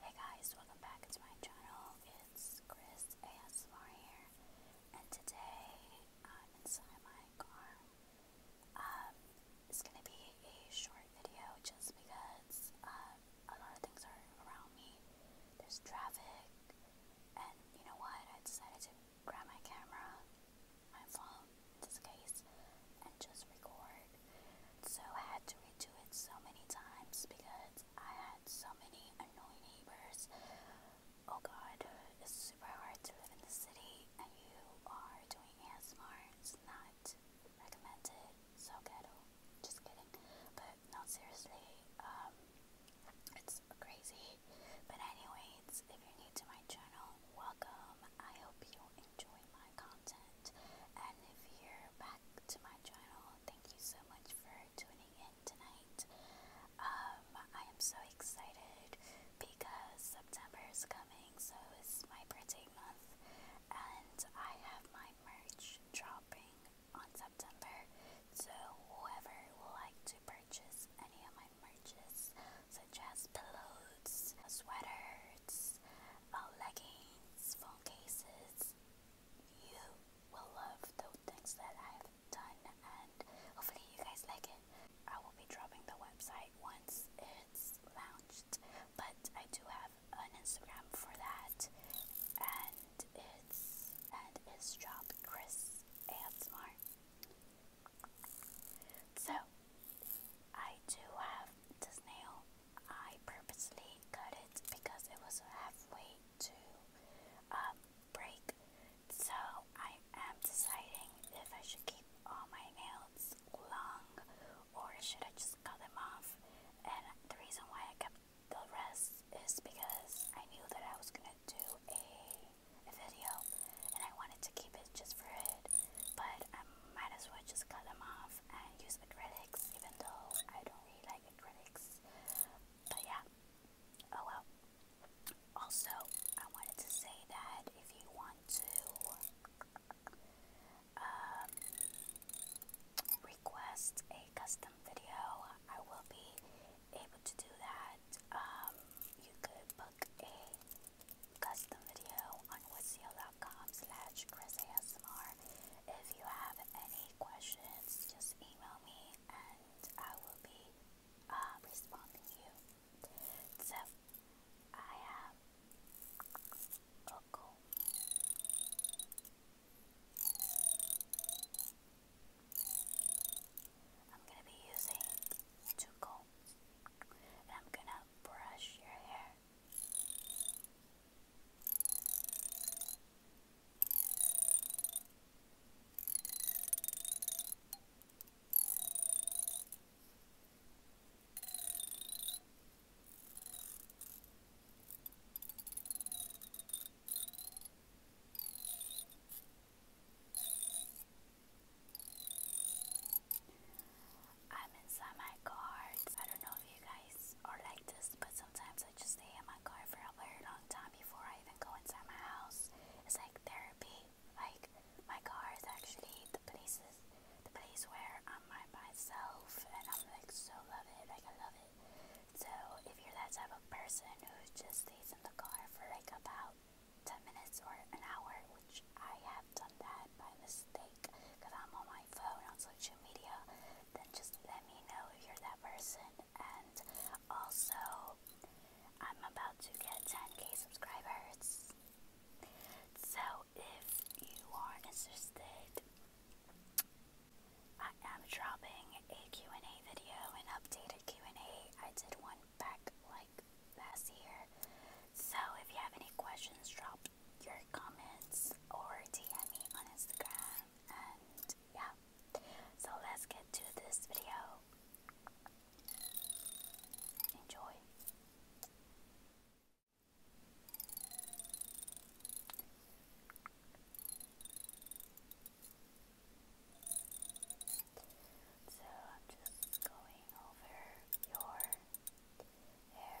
Hey guys, welcome back to my channel. It's Chris ASMR here, and today I'm inside my car. Um, it's gonna be a short video just because um, a lot of things are around me. There's traffic, and you know what? I decided to grab my camera my phone in this case and just record. So I had to redo it so many times because I had so many annoying neighbors. Oh god, it's super hard to live in the city and you are doing ASMR. It's not recommended. So Just kidding. But no seriously, um it's crazy. But anyways, if you're new to my channel, welcome. I hope you enjoy my content. And if you're back to my channel, thank you so much for tuning in tonight. Um, I am so excited because September is coming, so it's my birthday month, and I have my merch dropping on September. So, whoever would like to purchase any of my merches, such as pillows, sweaters, uh, leggings, phone cases, you will love the things that I've done and hopefully you guys like it. I will be dropping the website once it's launched, but I do have an Instagram for that and it's and so, I do have this nail. I purposely cut it because it was halfway to um, break. So, I am deciding if I should keep all my nails long or should I just cut them off. And the reason why I kept the rest is because I knew that I was gonna do a, video and I wanted to keep it just for it, but I might as well just cut them off and use acrylics, even though I don't really like acrylics. But yeah, oh well. Also, I wanted to say that if you want to um, request a custom video, I will be able to do that. Um, you could book a custom video on withzeo.com slash chrisasmr. If you have any questions, just email me and I will be uh, responding to you. So, I am Oko. I'm going to be using two combs and I'm going to brush your hair. I'm inside my car. I don't know if you guys are like this, but sometimes I just stay in my car for a very long time before I even go inside my house. It's like therapy. Like my car is actually the places the place where I'm by myself and I'm like so love it. Like I love it. So if you're that type of person who just stays in the car for like about 10 minutes or an hour, which I have done that by mistake because I'm on my phone on social media, then just let me know if you're that person. And also, I'm about to get 10k subscribers. So if you are interested I am dropping a Q&A video, an updated Q&A. I did one back like last year. So if you have any questions, drop your comments or DM me on Instagram. And yeah, so let's get to this video. Enjoy. So I'm just going over your hair. Your hair.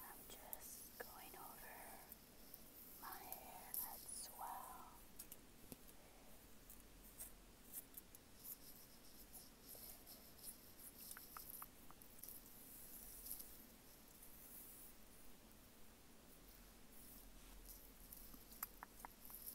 I'm just going over my hair as well. Okay.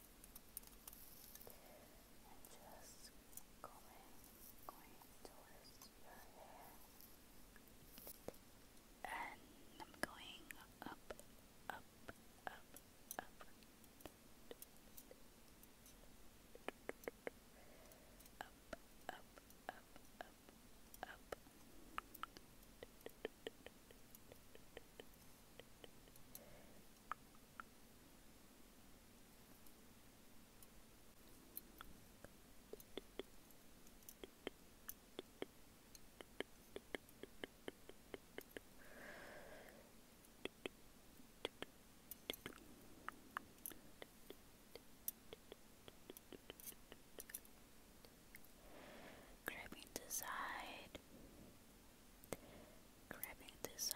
and just going, going towards your hair, and I'm going up, up, up, up. Up, up, up, up, up. Grabbing the side grabbing the side.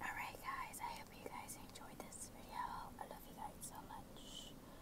Alright guys, I hope you guys enjoyed this video. I love you guys so much.